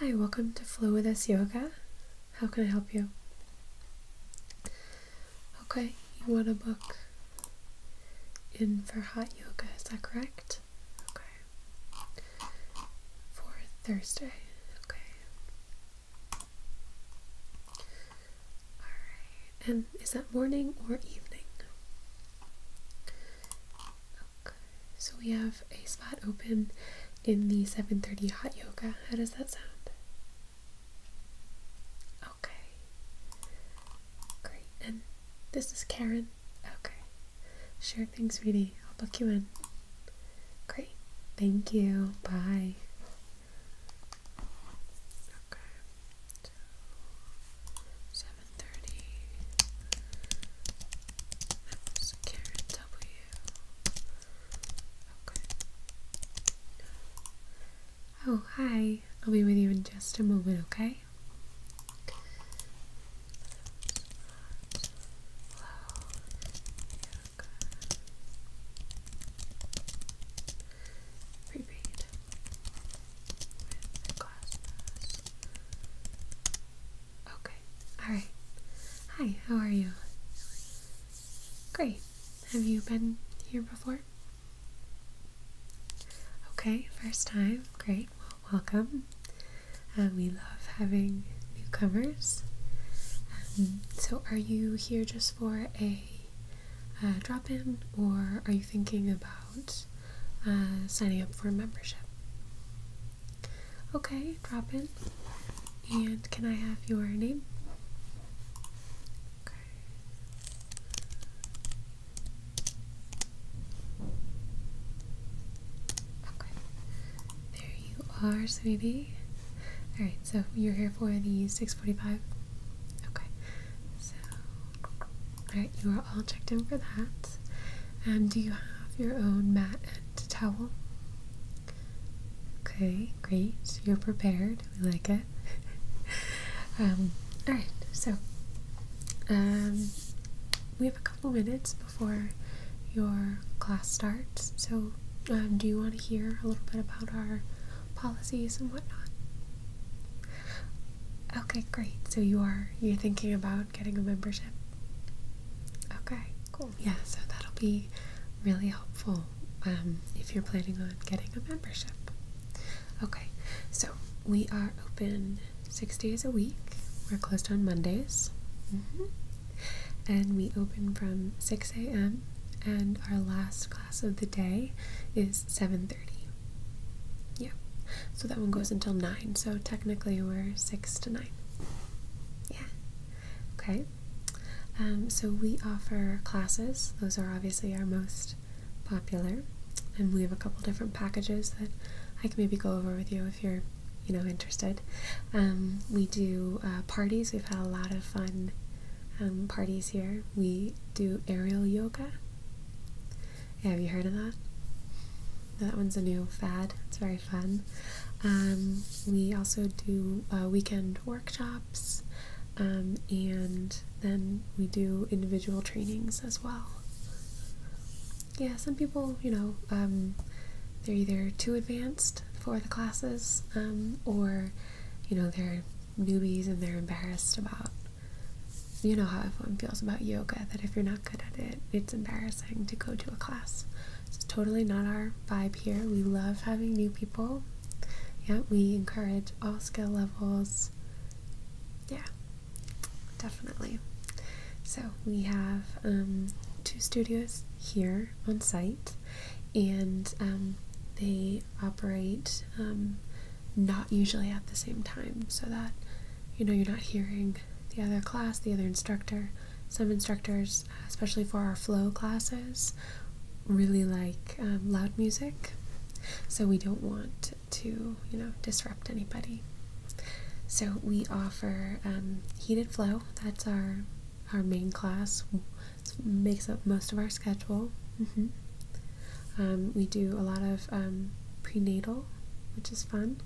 Hi, welcome to Flow with Us Yoga. How can I help you? Okay, you want to book in for hot yoga, is that correct? Okay. For Thursday. Okay. Alright, and um, is that morning or evening? Okay, so we have a spot open in the 7.30 hot yoga. How does that sound? Okay, great. And this is Karen. Okay, sure, thanks, Reedy. I'll book you in. Great, thank you. Bye. Okay, seven thirty. Karen W. Okay. Oh hi! I'll be with you in just a moment. okay prepaid Okay, alright. Hi, how are you? Great. Have you been here before? Okay, first time. Great. welcome. Uh, we love having newcomers. Um, so, are you here just for a uh, drop in, or are you thinking about uh, signing up for a membership? Okay, drop in. And can I have your name? Okay. There you are, sweetie. Alright, so you're here for the 645? Okay. So, alright, you are all checked in for that. And do you have your own mat and towel? Okay, great. You're prepared. We like it. um, alright, so, um, we have a couple minutes before your class starts, so um, do you want to hear a little bit about our policies and whatnot. Okay, great. So you are you're thinking about getting a membership? Okay, cool. Yeah, so that'll be really helpful um, if you're planning on getting a membership. Okay, so we are open six days a week. We're closed on Mondays. Mm-hmm. And we open from 6 a.m and our last class of the day is 7.30. Yeah, so that one goes until 9, so technically we're 6 to 9. Yeah, okay. Um, so we offer classes, those are obviously our most popular, and we have a couple different packages that I can maybe go over with you if you're you know interested. Um, we do uh, parties, we've had a lot of fun um, parties here, we do aerial yoga. have you heard of that? That one's a new fad. It's very fun. Um, we also do uh, weekend workshops, um, and then we do individual trainings as well. Yeah, some people, you know, um, they're either too advanced for the classes, um, or you know they're newbies and they're embarrassed about you know how everyone feels about yoga that if you're not good at it it's embarrassing to go to a class it's totally not our vibe here we love having new people yeah we encourage all skill levels yeah definitely so we have um, two studios here on site, and um, they operate um, not usually at the same time, so that you know you're not hearing the other class, the other instructor. Some instructors, especially for our flow classes, really like um, loud music, so we don't want to you know disrupt anybody. So we offer heated flow. That's our our main class makes up most of our schedule. Mm-hmm. Um, we do a lot of um, prenatal, which is fun.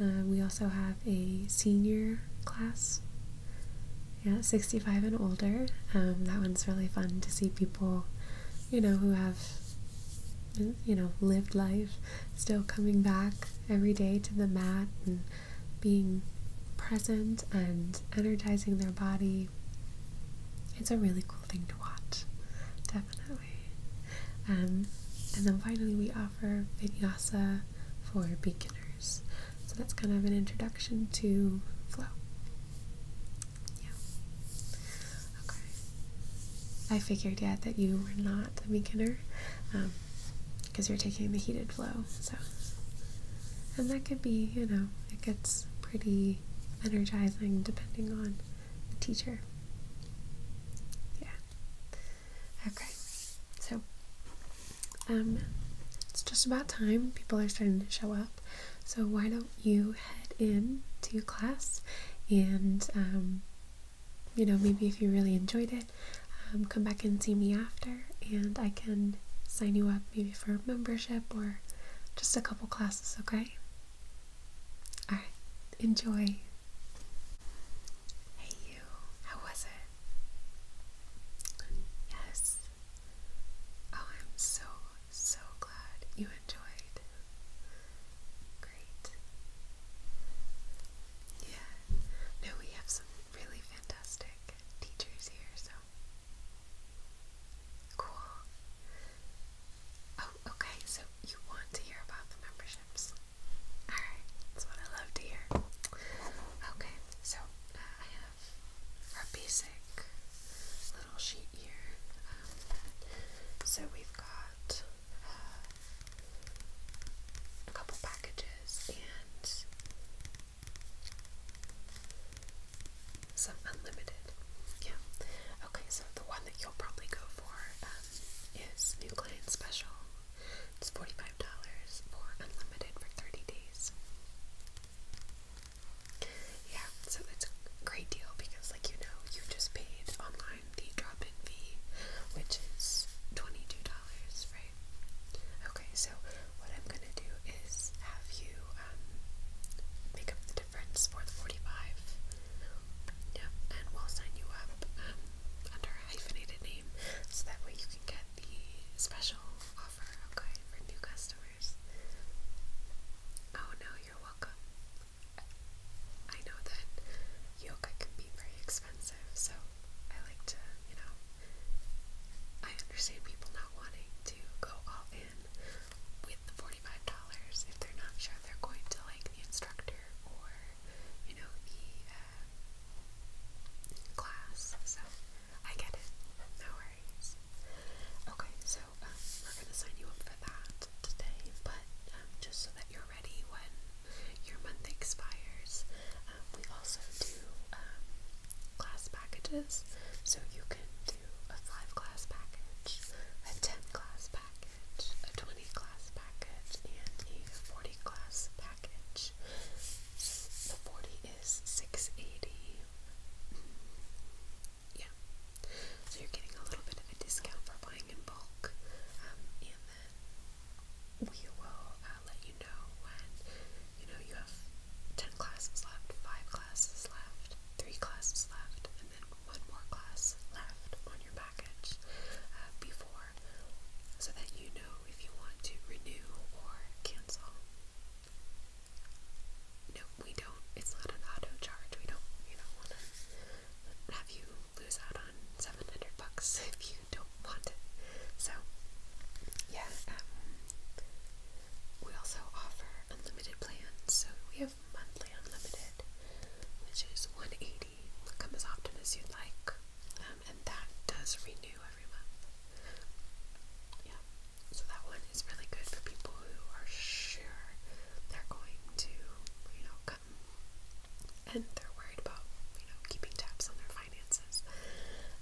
Uh, we also have a senior class. Yeah, 65 and older. Um, that one's really fun to see people, you know, who have, you know, lived life, still coming back every day to the mat and being present and energizing their body. It's a really cool thing to watch, definitely. Um, and then finally, we offer vinyasa for beginners. So that's kind of an introduction to flow. Yeah. Okay. I figured, yeah, that you were not a beginner because um, you're taking the heated flow. So and that could be, you know, it gets pretty energizing depending on the teacher. Yeah. Okay. So, um, it's just about time. People are starting to show up. So, why don't you head in to class and, um, you know, maybe if you really enjoyed it, um, come back and see me after and I can sign you up maybe for membership or just a couple classes, okay? Alright, enjoy. Hey, you, how was it? Yes. Oh, I'm so, so glad you enjoyed. Great. Yeah, no, we have some really fantastic teachers here, so Cool. Oh, okay, so you want to hear about the memberships. Alright, that's what I love to hear. Okay, so uh, I have our basic little sheet here. Um, so we've got uh, a couple packages and some unlimited. Yeah. Okay, so the one that you'll probably go for um, is New Client Special. It's $45 for unlimited for 30 days. Yeah, so that's a great deal because, like you know, you just paid online the drop in fee, which is $22, Okay. so what I'm gonna do is have you make um, up the difference for the 45. Yep, and we'll sign you up um, under a hyphenated name so that way you can get the special offer, okay, for new customers. Oh no, you're welcome. I know that yoga can be very expensive, so I like to, you know, I understand people not wanting to go all in with the $45 if they're not sure they're going to like the instructor or, you know, the uh, class. So I get it. No worries. Okay, so um, we're going to sign you up for that today, but um, just so that you're ready when your month expires, um, we also do um, class packages. So you can do a 5 class package, a 10 class package, a 20 class package, and a 40 class package. So the 40 is 680. Mm. Yeah. So you're getting a little bit of a discount for buying in bulk. Um, and then we will uh, let you know when you know you have ten classes left, five classes left, three classes left, and then one more class left on your package uh, before, so that you know if you want to renew or cancel. No, we don't. It's not an auto charge. We don't. You don't want to have you lose out on seven hundred bucks if you don't want it. So, yeah, um, we also offer unlimited plans. So we have monthly unlimited, which is 180. Come as often as you'd like, um, and that does renew every month. Yeah, so that one is really good for people who are sure they're going to, you know, come and they're worried about, you know, keeping tabs on their finances.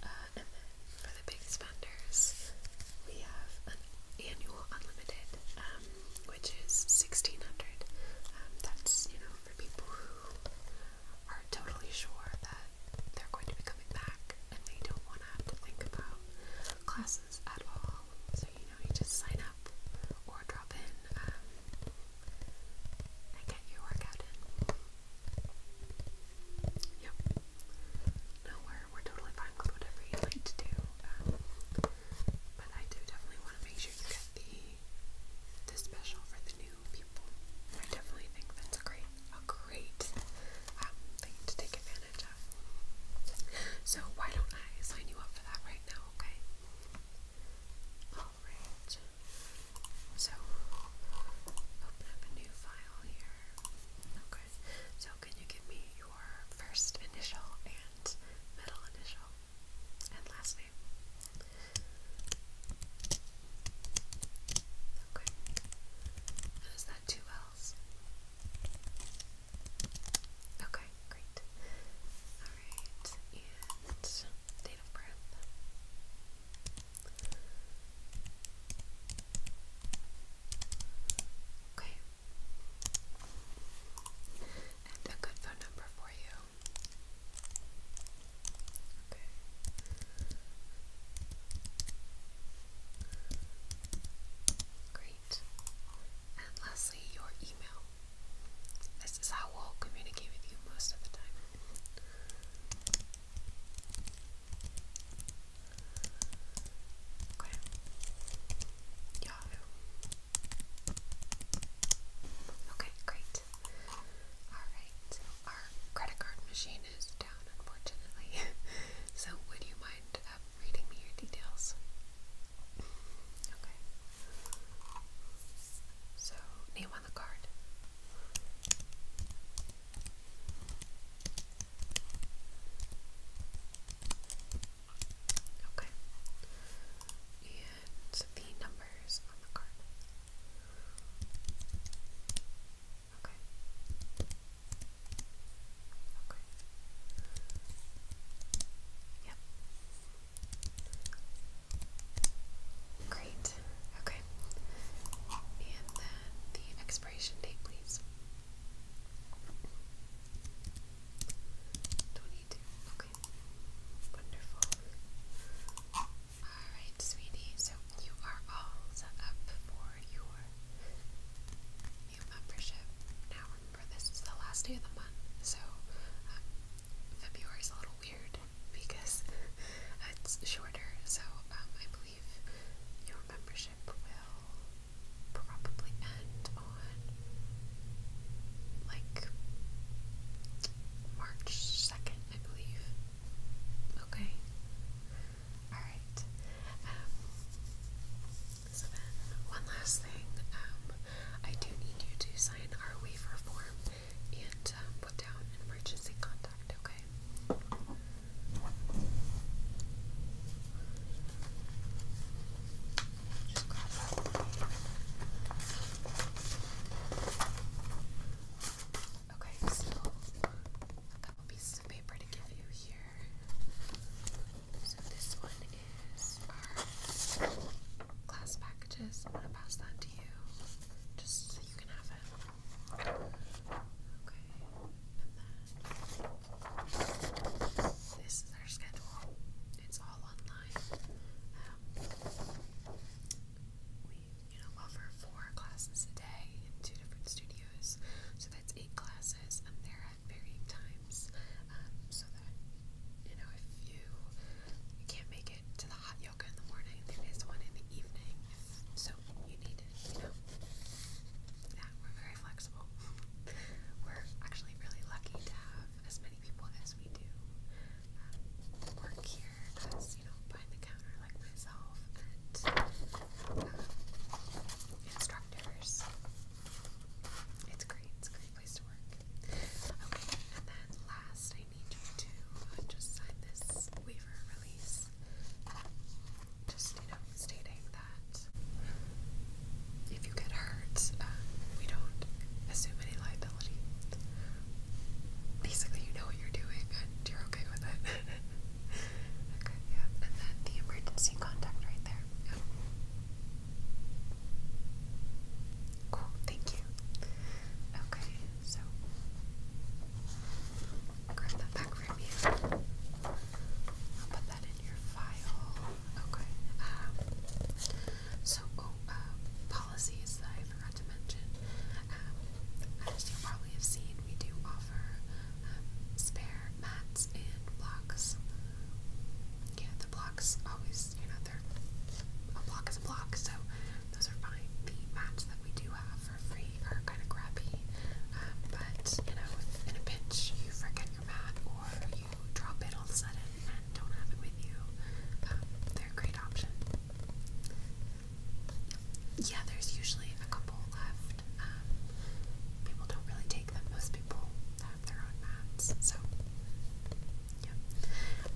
Uh, and then for the big spenders, we have an annual unlimited, um, which is sixteen hundred. Um, that's you know for people who are totally sure that they're going to be coming back and they don't want to have to think about classes at all. So you know you just sign up or drop in um, and get your workout in. Yeah. No, we're, we're totally fine with whatever you like to do. Um, but I do definitely want to make sure you get the, the special for the new people. I definitely think that's a great, a great um, thing to take advantage of. So why don't I sign you up for that right now, okay? Alright. So, open up a new file here. Okay, so can you give me your first initial and middle initial and last name? Okay, is that two L's? Okay, great. Alright, and date of birth. Okay. And a good phone number for you. Great. And lastly, your email. This is how we'll communicate with you most of the time. Okay. Yahoo. Okay, great. Alright, our credit card machine is down, unfortunately. so, would you mind uh, reading me your details? Okay. So, name on the card. Okay. And the numbers on the card. Okay. Okay. Yep. Great. Okay. And then the expiration date, please. 22. Okay. Wonderful. Alright, sweetie. So you are all set up for your new membership. Now remember, this is the last day of the month. So um, February's a little weird because it's shorter, so um, I believe your membership will probably end on like March 2nd, I believe. Okay. Alright. Um, so then, one last thing. Um, I do need you to sign our waiver form and uh, put down an emergency contact, okay? Okay, so a couple pieces of paper to give you here. So this one is our class packages. I'm gonna pass that to you just this is our schedule. It's all online. Um, we, you know, offer four classes a day in two different studios, so that's eight classes, and they're at varying times. Um, so that you know, if you can't make get to the hot yoga in the morning. There is one in the evening so you need it, you know. Yeah, we're very flexible. we're actually really lucky to have as many people as we do um, work here as, you know, behind the counter like myself and um, instructors. It's great. It's a great place to work. Okay, and then last, I need you to uh, just sign this waiver release. Just, you know, stating that if you get hurt, uh, we don't assume any liability. Basically, you know what you're doing and you're okay with it. okay, yeah. And then the emergency contact right there. Yeah. Cool, thank you. Okay, so grab that back from you. I'll put that in your file. Okay. Um, so, oh, um, policies I forgot to mention. Um, as you probably have seen, we do offer spare mats and blocks. Yeah, the blocks always because you know they're a block is a block, so those are fine. The mats that we do have for free are kind of crappy, um, but you know, if in a pinch you forget your mat or you drop it all of a sudden and don't have it with you, um, they're a great option. Yeah, there's usually a couple left. Um, people don't really take them. Most people have their own mats, so yeah.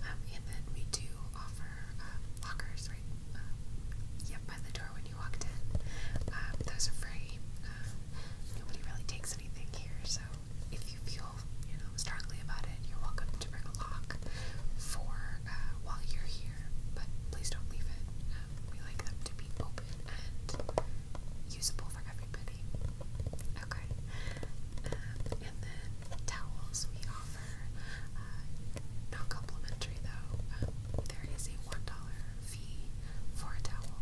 Um, and then we do offer um, lockers right um, yep by the door when you walked in. Um, those are free. Um, nobody really takes anything here, so if you feel you know strongly about it, you're welcome to bring a lock for uh, while you're here. But please don't leave it. we like them to be open and usable for everybody. Okay. and then towels we offer offer. Uh, not complimentary though. Um, there is a one dollar fee for a towel.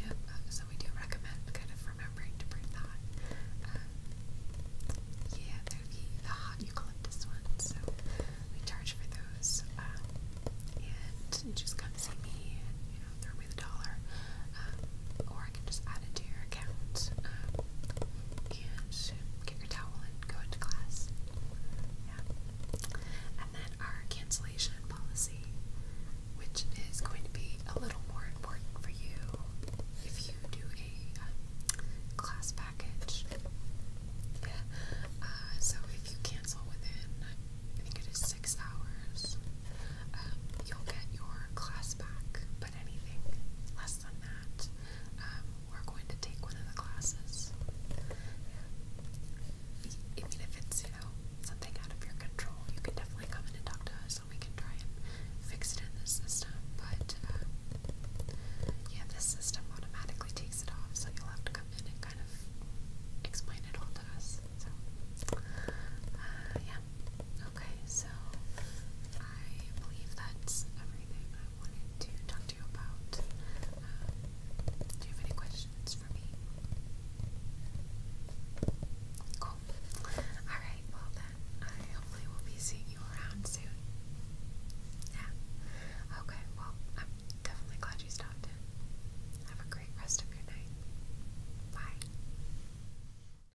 Uh, so we do recommend kind of remembering to bring that. Um, yeah, there the hot eucalyptus ones, so we charge for those. Um, and just come see me and you know throw me the dollar um, or I can just add it to your account um, and get your towel and go into class. Yeah. And then our cancellation policy, which is going to be a little more important for you if you do a um, class package. Yeah. Uh, so if you cancel within, I think it is six hours, um, you'll get your class back but anything less than that, um, we're going to take one of the classes. Even if it's, you know, something out of your control, you can definitely come in and talk to us and we can try and fix it in the system. But, um, yeah, this system automatically takes it off, so you'll have to come in and kind of explain it all to us. So, uh, yeah, Okay, so I believe that's everything I wanted to talk to you about. Um, do you have any questions for me? Cool. Alright, well then, I hopefully will be seeing you around soon. Yeah. Okay, well, I'm definitely glad you stopped Have a great rest of your night. Bye.